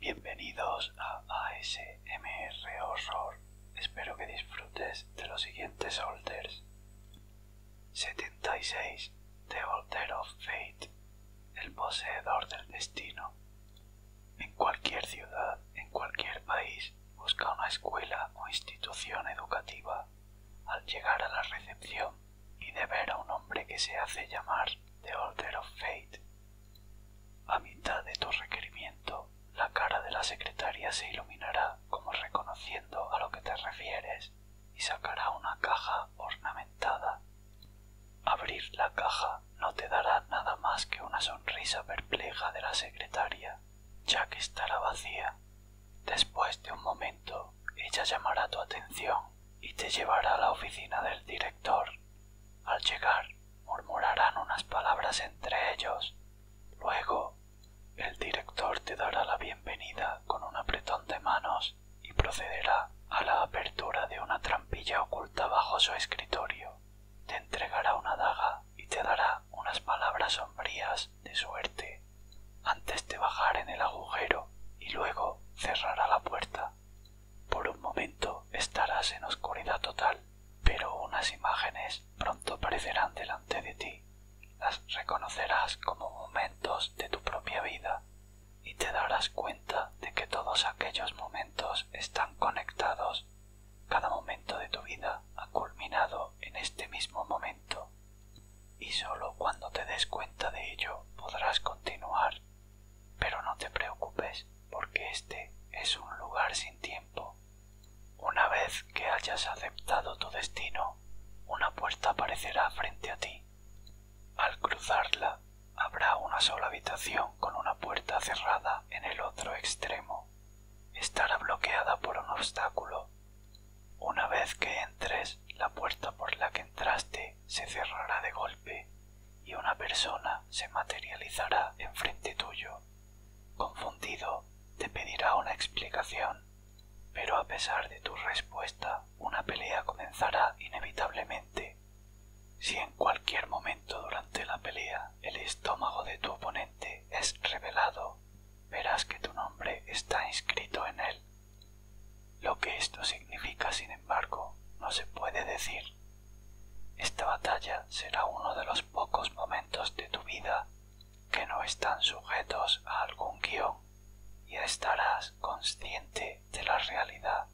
Bienvenidos a ASMR Horror. Espero que disfrutes de los siguientes alters. 76. The Alter of Fate. El poseedor del destino. En cualquier ciudad, en cualquier país, busca una escuela o institución educativa. Al llegar a la recepción y de ver a un hombre que se hace llamar The Order of Fate, a mitad de tu requerimiento, la cara de la secretaria se iluminará como reconociendo a lo que te refieres y sacará una caja ornamentada. Abrir la caja no te dará nada más que una sonrisa perpleja de la secretaria, ya que estará vacía. Después de un momento, ella llamará tu atención y te llevará a la oficina del director. Al llegar, murmurarán unas palabras entre ellos. Luego, el director te dará la bienvenida con un apretón de manos y procederá a la apertura de una trampilla oculta bajo su escritorio. Te entregará una daga y te dará unas palabras sombrías de suerte antes de bajar en el agujero y luego cerrará la puerta. Por un momento estarás en oscuridad total, pero unas imágenes pronto aparecerán delante de ti. Las reconocerás como momentos de tu propia vida y te darás cuenta de que todos aquellos momentos están conectados cada momento de tu vida ha culminado en este mismo momento y solo cuando te des cuenta de ello podrás continuar. Pero no te preocupes porque este es un lugar sin tiempo. Una vez que hayas aceptado tu destino, una puerta aparecerá frente a ti. Al cruzarla, habrá una sola habitación con una puerta cerrada en el otro extremo estará bloqueada por un obstáculo. Una vez que entres, la puerta por la que entraste se cerrará de golpe y una persona se materializará enfrente tuyo. Confundido, te pedirá una explicación, pero a pesar de tu respuesta, una pelea comenzará inevitablemente. Si en cualquier momento durante la pelea el estómago de tu oponente es revelado, verás que tu nombre está inscrito en él. Lo que esto significa, sin embargo, no se puede decir. Esta batalla será uno de los pocos momentos de tu vida que no están sujetos a algún guión y estarás consciente de la realidad,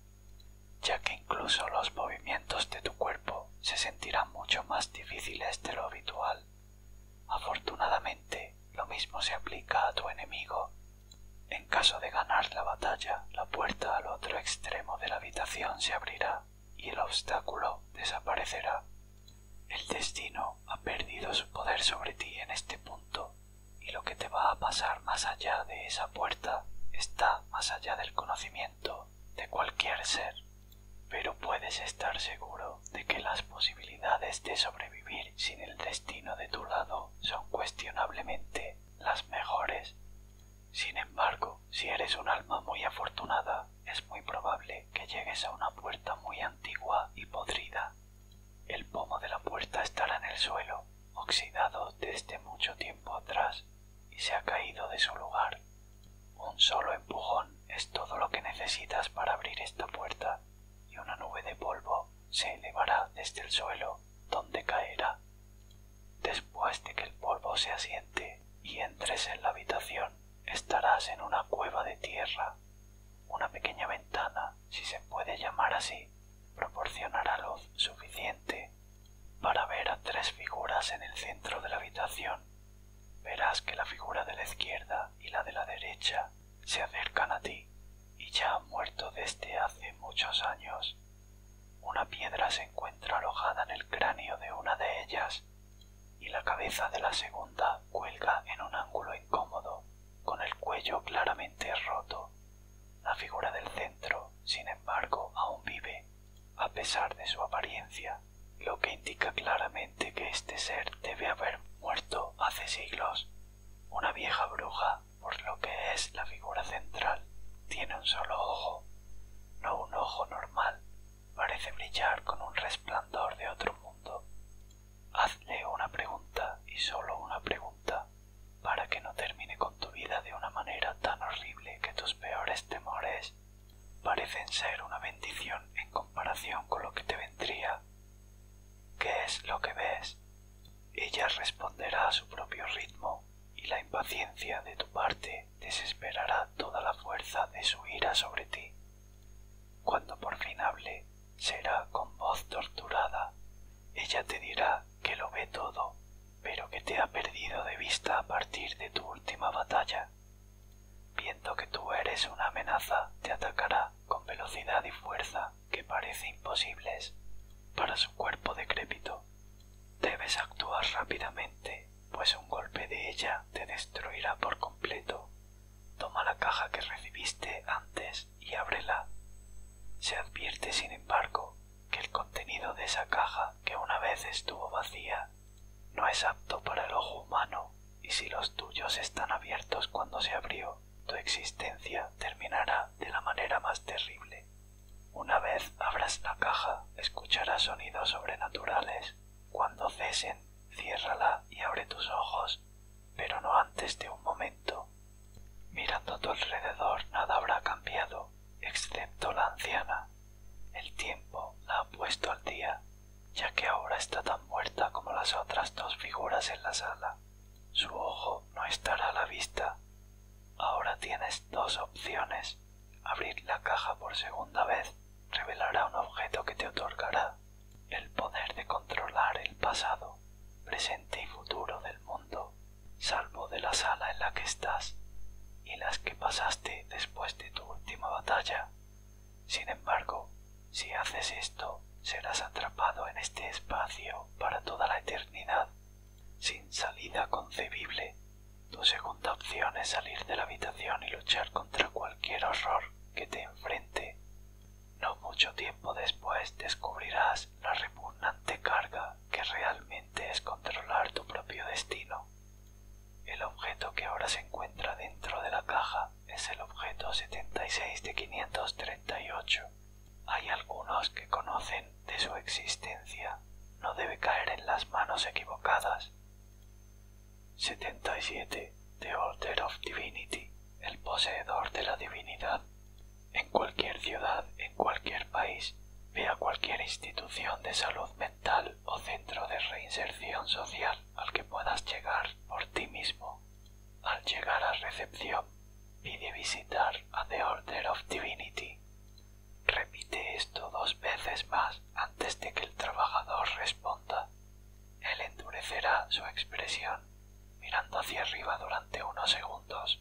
ya que incluso los movimientos de tu cuerpo se sentirán mucho más difíciles de lo habitual. Afortunadamente, lo mismo se aplica a tu enemigo. En caso de ganar la batalla, la puerta al otro extremo de la habitación se abrirá y el obstáculo desaparecerá. El destino ha perdido su poder sobre ti en este punto, y lo que te va a pasar más allá de esa puerta está más allá del conocimiento de cualquier ser, pero puedes estar seguro de que las posibilidades de sobrevivir sin el destino de tu lado son cuestionablemente las mejores. Sin embargo, si eres un alma muy afortunada, es muy probable que llegues a una puerta muy antigua y podrida. El pomo de la puerta estará en el suelo, oxidado desde mucho tiempo atrás, y se ha caído de su lugar un solo empujón es todo lo que necesitas para abrir esta puerta y una nube de polvo se elevará desde el suelo donde caerá. Después de que el polvo se asiente y entres en la habitación, estarás en una cueva de tierra. Una pequeña ventana, si se puede llamar así, proporcionará luz suficiente para ver a tres figuras en el centro de la habitación verás que la figura de la izquierda y la de la derecha se acercan a ti y ya han muerto desde hace muchos años. Una piedra se encuentra alojada en el cráneo de una de ellas y la cabeza de la segunda cuelga en un ángulo incómodo, con el cuello claramente roto. La figura del centro, sin embargo, aún vive a pesar de su apariencia, lo que indica claramente que este ser debe haber muerto hace siglos. Una vieja bruja, por lo que es la figura central, tiene un solo ojo, no un ojo normal, parece brillar con un resplandor de otro mundo. Hazle una pregunta y solo una pregunta, para que no termine con tu vida de una manera tan horrible que tus peores temores parecen ser una bendición en comparación con lo que te vendría. ¿Qué es lo que ves? Ella responderá a su propio ritmo y la impaciencia de tu parte desesperará toda la fuerza de su ira sobre ti. Cuando por fin hable, será con voz torturada. Ella te dirá que lo ve todo, pero que te ha perdido de vista a partir de tu última batalla. Viendo que tú eres una amenaza, te atacará con velocidad y fuerza que parece imposibles para su cuerpo decrépito. Debes actuar rápidamente, pues un golpe de ella te destruirá por completo. Toma la caja que recibiste antes y ábrela. Se advierte, sin embargo, que el contenido de esa caja, que una vez estuvo vacía, no es apto para el ojo humano, y si los tuyos están abiertos cuando se abrió, tu existencia terminará de la manera más terrible. Una vez abras la caja, escucharás sonidos sobrenaturales. Cuando cesen, ciérrala y abre tus ojos, pero no antes de un momento. Mirando a tu alrededor nada habrá cambiado excepto la anciana. El tiempo la ha puesto al día, ya que ahora está tan muerta como las otras dos figuras en la sala. Su ojo no estará a la vista. Ahora tienes dos opciones. Abrir la caja por segunda vez revelará un objeto que te otorgará el poder de controlar el pasado, presente y futuro del mundo, salvo de la sala en la que estás y las que pasaste después de tu última batalla. Sin embargo, si haces esto, serás atrapado en este espacio para toda la eternidad, sin salida concebible. Tu segunda opción es salir de la habitación y luchar contra cualquier horror que te enfrente. No mucho tiempo después descubrirás la repugnante carga que realmente es controlar tu propio destino. El objeto que ahora se encuentra dentro de la caja es el objeto 76 de 538. Hay algunos que conocen de su existencia. No debe caer en las manos equivocadas. 77. The Order of Divinity. El poseedor de la divinidad. En cualquier ciudad, en cualquier país, vea cualquier institución de salud mental o centro de reinserción social al que puedas llegar por ti mismo. Al llegar a recepción, pide visitar a The Order of Divinity. Repite esto dos veces más antes de que el trabajador responda. Él endurecerá su expresión mirando hacia arriba durante unos segundos.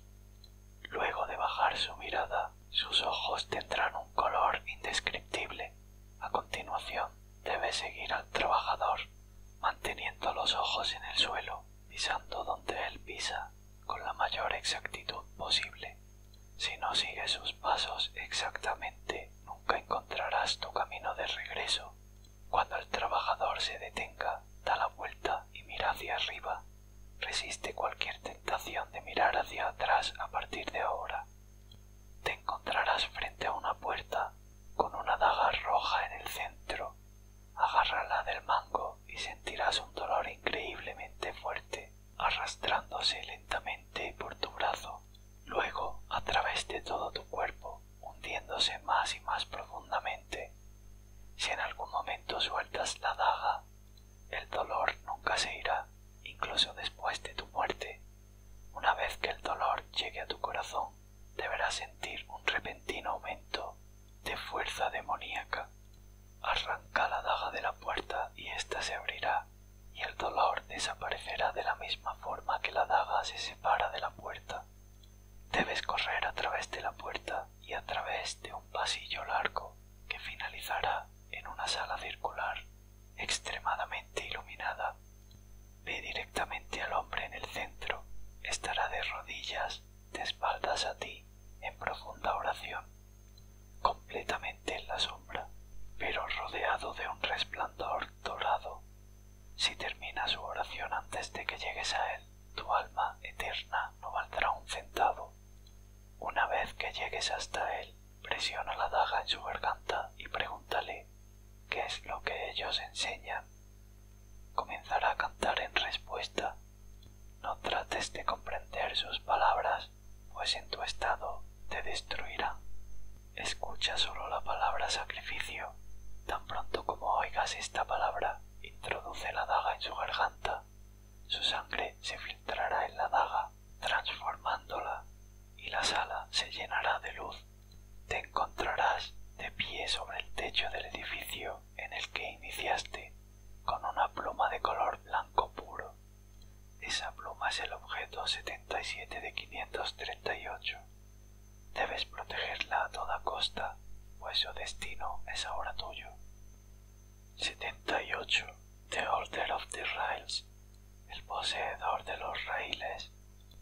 Luego de bajar su mirada, sus ojos tendrán un color indescriptible. A continuación, debe seguir al trabajador, manteniendo los ojos en el suelo, pisando donde él pisa, con la mayor exactitud posible. Si no sigues sus pasos exactamente, nunca encontrarás tu camino de regreso. Cuando el trabajador se detenga, da la vuelta y mira hacia arriba Resiste cualquier tentación de mirar hacia atrás a partir de ahora. Te encontrarás frente a una puerta con una daga roja en el centro. Agárrala del mango y sentirás un dolor increíblemente fuerte arrastrándose lentamente por tu brazo, luego a través de todo tu cuerpo, hundiéndose más y más profundamente. Si en algún momento sueltas la daga, el dolor nunca se irá, incluso después de tu muerte. Una vez que el dolor llegue a tu corazón, deberás sentir un repentino aumento de fuerza demoníaca. Arranca la daga de la puerta y ésta se abrirá, y el dolor desaparecerá de la misma forma que la daga se separa de la puerta. Debes correr a través de la puerta y a través de un pasillo largo que finalizará en una sala circular extremadamente iluminada. Ve directamente al hombre en el centro. Estará de rodillas, de espaldas a ti, en profunda oración, completamente en la sombra, pero rodeado de un resplandor dorado. Si termina su oración antes de que llegues a él, tu alma eterna no valdrá un centavo. Una vez que llegues hasta él, presiona la daga en su garganta y pregúntale qué es lo que ellos enseñan. Comenzará a cantar en respuesta. No trates de comprender sus palabras, pues en tu estado te destruirá. Escucha solo la palabra sacrificio. Tan pronto como oigas esta palabra, introduce la daga en su garganta su sangre se filtrará en la daga, transformándola, y la sala se llenará de luz. Te encontrarás de pie sobre el techo del edificio en el que iniciaste, con una pluma de color blanco puro. Esa pluma es el objeto 77 de 538. Debes protegerla a toda costa, pues su destino es ahora tuyo. 78. The Order of the Rails. El poseedor de los raíles.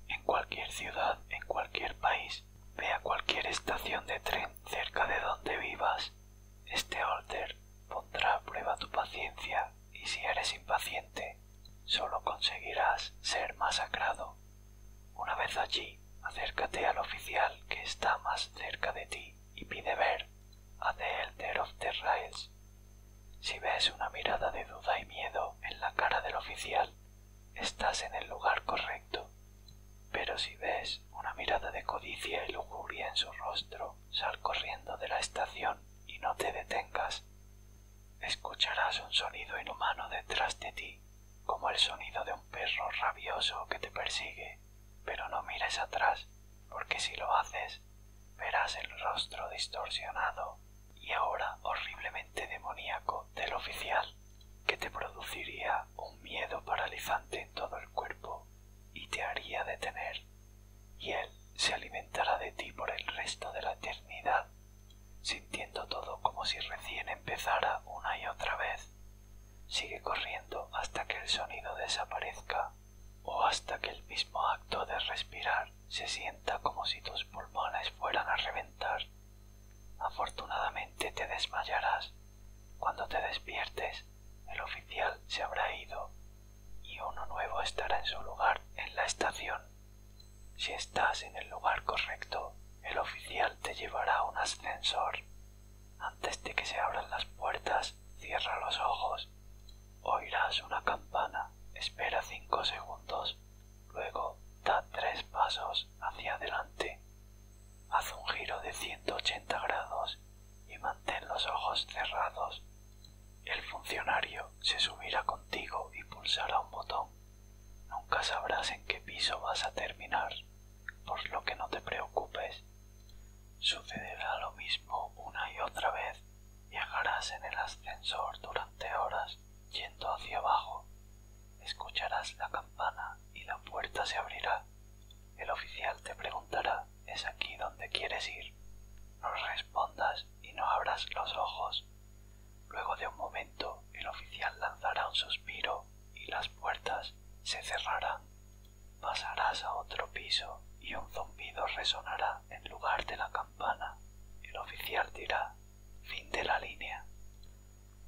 En cualquier ciudad, en cualquier país, vea cualquier estación de tren cerca de donde vivas. Este order pondrá a prueba tu paciencia y si eres impaciente, solo conseguirás ser masacrado. Una vez allí, acércate al oficial que está más cerca de ti y pide ver a The Elder of the Rails. Si ves una mirada de duda y miedo en la cara del oficial, estás en el lugar correcto. Pero si ves una mirada de codicia y lujuria en su rostro, sal corriendo de la estación y no te detengas. Escucharás un sonido inhumano detrás de ti, como el sonido de un perro rabioso que te persigue pero no mires atrás, porque si lo haces, verás el rostro distorsionado y ahora horriblemente demoníaco del oficial, que te produciría un miedo paralizante en todo el cuerpo y te haría detener, y él se alimentará de ti por el resto de la eternidad, sintiendo todo como si recién empezara una y otra vez, Sigue corriendo hasta que el sonido desaparezca o hasta que el mismo acto de respirar se sienta como si tus pulmones fueran a reventar. Afortunadamente te desmayarás. Cuando te despiertes, el oficial se habrá ido y uno nuevo estará en su lugar en la estación. Si estás en el lugar correcto, el oficial te llevará a un ascensor antes de que se abran las puertas, cierra los ojos. Oirás una campana. Espera cinco segundos. Luego da tres pasos hacia adelante. Haz un giro de 180 grados y mantén los ojos cerrados. El funcionario se subirá contigo y pulsará un botón. Nunca sabrás en qué piso vas a terminar por lo que no te preocupes. Sucederá lo mismo una y otra vez. Viajarás en el ascensor durante horas yendo hacia abajo. Escucharás la campana y la puerta se abrirá. El oficial te preguntará, ¿es aquí donde quieres ir? No respondas y no abras los ojos. Luego de un momento el oficial lanzará un suspiro y las puertas se cerrarán pasarás a otro piso y un zumbido resonará en lugar de la campana. El oficial dirá, fin de la línea.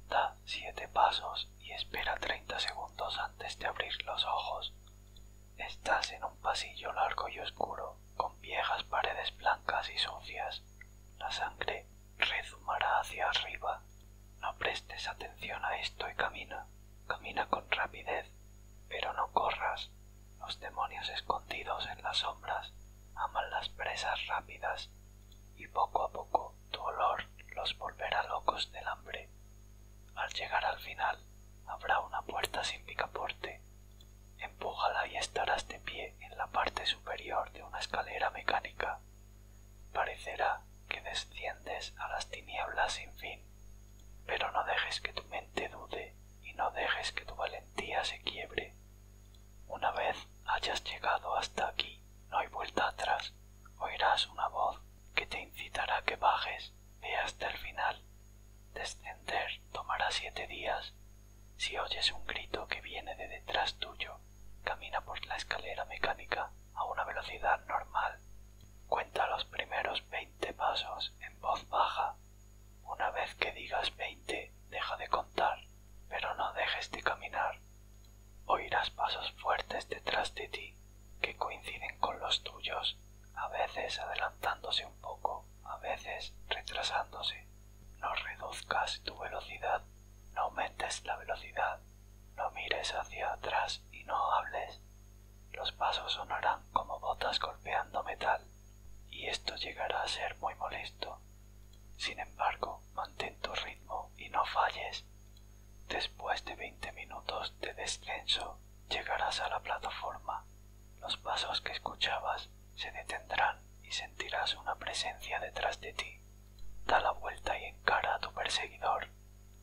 Da siete pasos y espera treinta segundos antes de abrir los ojos. Estás en un pasillo largo y oscuro, con viejas paredes blancas y sucias. La sangre rezumará hacia arriba no prestes atención a esto y camina. Camina con rapidez, pero no corras. Los demonios escondidos en las sombras aman las presas rápidas y poco a poco tu olor los volverá locos del hambre. Al llegar al final habrá una puerta sin picaporte. Empújala y estarás de pie en la parte superior de una escalera mecánica. Parecerá que desciendes a las tinieblas sin fin, pero no dejes que tu mente dude y no dejes que tu valentía se quiebre. Una vez hayas llegado hasta aquí, no hay vuelta atrás, oirás una voz que te incitará a que bajes, ve hasta el final. Descender tomará siete días. Si oyes un grito que viene de detrás tuyo, camina por la escalera mecánica a una velocidad normal. Cuenta los primeros 20 pasos en voz baja. Una vez que digas 20, deja de contar, pero no dejes de caminar. Oirás pasos fuertes detrás de ti que coinciden con los tuyos, a veces adelantándose un poco, a veces retrasándose. No reduzcas tu velocidad, no aumentes la velocidad, no mires hacia atrás y no hables. Los pasos sonarán como botas golpeando metal, y esto llegará a ser muy molesto. Sin embargo, mantén tu ritmo y no falles. Después de veinte minutos de descenso, llegarás a la plataforma. Los pasos que escuchabas se detendrán y sentirás una presencia detrás de ti. Da la vuelta y encara a tu perseguidor.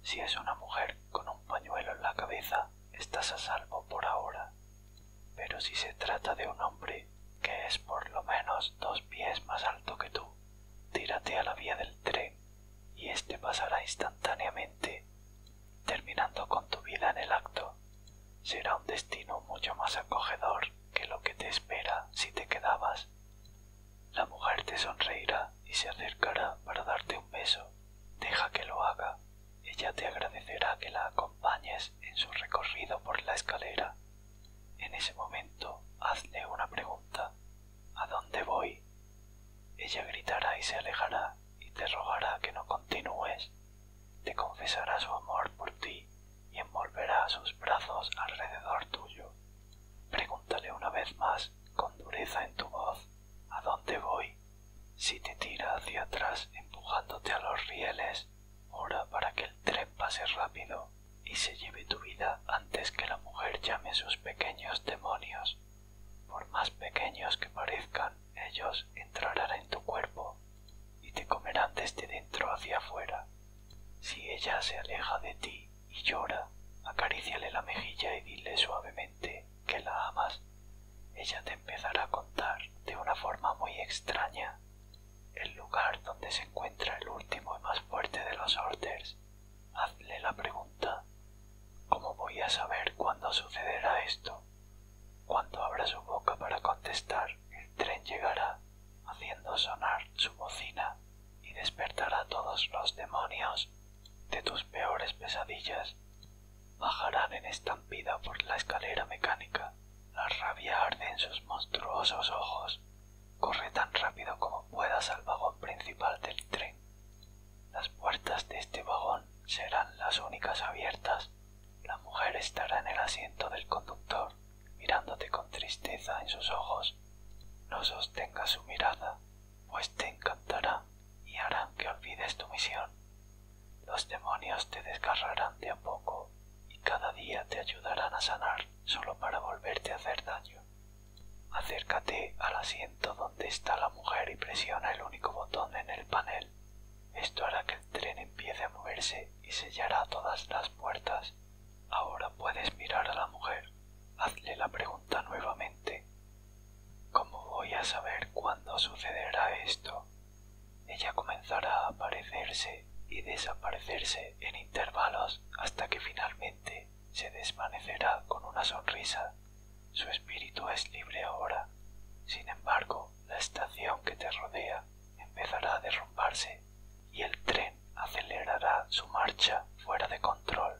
Si es una mujer con un pañuelo en la cabeza, estás a salvo por ahora. Pero si se trata de un hombre que es por lo menos dos pies más alto que tú, tírate a la vía del tren y éste pasará instantáneamente, terminando con tu vida en el acto. Será un destino mucho más acogedor que lo que te espera si te quedabas. La mujer te sonreirá y se acercará para darte un beso. Deja que lo haga. Ella te agradecerá que la acompañes en su recorrido por la escalera. En ese momento, hazle una pregunta. ¿A dónde voy? Ella gritará y se alejará y te rogará que no continúes. Te confesará su amor por ti y envolverá sus brazos alrededor tuyo. Pregúntale una vez más, con dureza en tu voz, a dónde voy. Si te tira hacia atrás empujándote a los rieles, ora para que el tren pase rápido y se lleve tu vida antes que la mujer llame sus pequeños demonios. Por más pequeños que parezcan, ellos entrarán en tu cuerpo y te comerán desde dentro hacia afuera. Si ella se aleja de ti, y llora, acaríciale la mejilla y dile suavemente que la amas. Ella te empezará a contar de una forma muy extraña el lugar donde se encuentra el último y más fuerte de los orders. Hazle la pregunta ¿Cómo voy a saber cuándo sucederá esto? Cuando abra su boca para contestar, el tren llegará haciendo sonar su bocina y despertará todos los demonios de tus peores pesadillas. Bajarán en estampida por la escalera mecánica. La rabia arde en sus monstruosos ojos. Corre tan rápido como puedas al vagón principal del tren. Las puertas de este vagón serán las únicas abiertas. La mujer estará en el asiento del conductor mirándote con tristeza en sus ojos. No sostenga su mirada, pues te encantará y harán que olvides tu misión. Los demonios te desgarrarán de a poco y cada día te ayudarán a sanar solo para volverte a hacer daño. Acércate al asiento donde está la mujer y presiona el único botón en el panel. Esto hará que el tren empiece a moverse y sellará todas las puertas. Ahora puedes mirar a la mujer. Hazle la pregunta nuevamente. ¿Cómo voy a saber cuándo sucederá esto? Ella comenzará a aparecerse y desaparecerse en intervalos hasta que finalmente se desvanecerá con una sonrisa. Su espíritu es libre ahora. Sin embargo, la estación que te rodea empezará a derrumbarse y el tren acelerará su marcha fuera de control.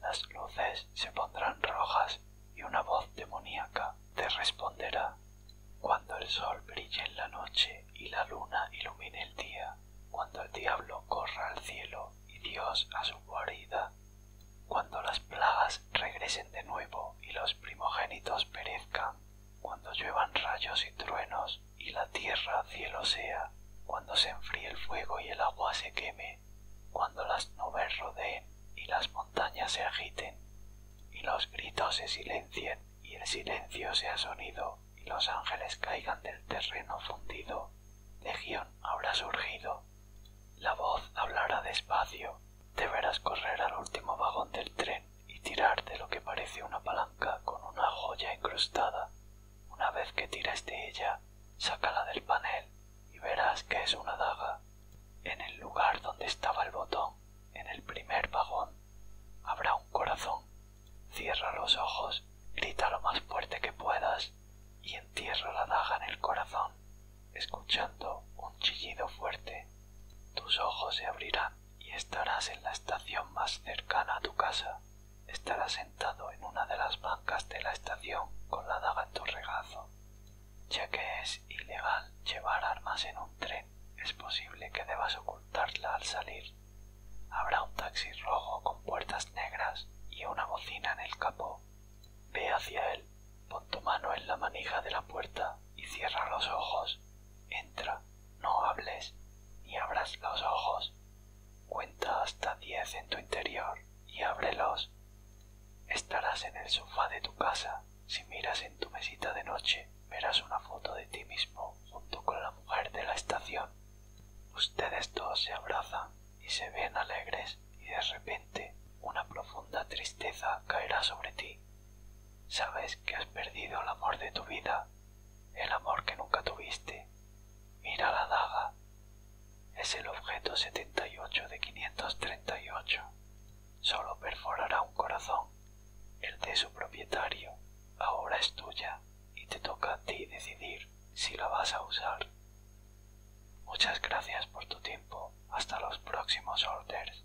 Las luces se pondrán rojas y una voz demoníaca te responderá. Cuando el sol brille en la noche y la luna ilumine el día, cuando el diablo corra al cielo y Dios a su guarida, cuando las plagas regresen de nuevo y los primogénitos perezcan, cuando lluevan rayos y truenos y la tierra cielo sea, cuando se enfríe el fuego y el agua se queme, cuando las nubes rodeen y las montañas se agiten, y los gritos se silencien y el silencio sea sonido, y los ángeles caigan del terreno fundido, legión habrá surgido. La voz hablará despacio, deberás correr al último vagón del tren y tirar de lo que parece una palanca con una joya incrustada. Una vez que tires de ella, sácala del panel y verás que es una daga. En el lugar donde estaba el botón, en el primer vagón, habrá un corazón. Cierra los ojos, grita lo más fuerte que puedas y entierra la daga en el corazón, escuchando un chillido fuerte. Tus ojos se abrirán y estarás en la estación más cercana a tu casa. Estarás sentado en una de las bancas de la estación con la daga en tu regazo. Ya que es ilegal llevar armas en un tren, es posible que debas ocultarla al salir. Habrá un taxi rojo con puertas negras y una bocina en el capó. Ve hacia él, pon tu mano en la manija de la puerta y cierra los ojos. Entra. No hables ni abras los ojos. Cuenta hasta diez en tu interior y ábrelos. Estarás en el sofá de tu casa. Si miras en tu mesita de noche, verás una foto de ti mismo junto con la mujer de la estación. Ustedes dos se abrazan y se ven alegres y de repente una profunda tristeza caerá sobre ti. Sabes que has perdido el amor de tu vida el amor que nunca tuviste. Mira la daga. Es el objeto 78 de 538. Solo perforará un corazón, el de su propietario. Ahora es tuya y te toca a ti decidir si la vas a usar. Muchas gracias por tu tiempo. Hasta los próximos orders.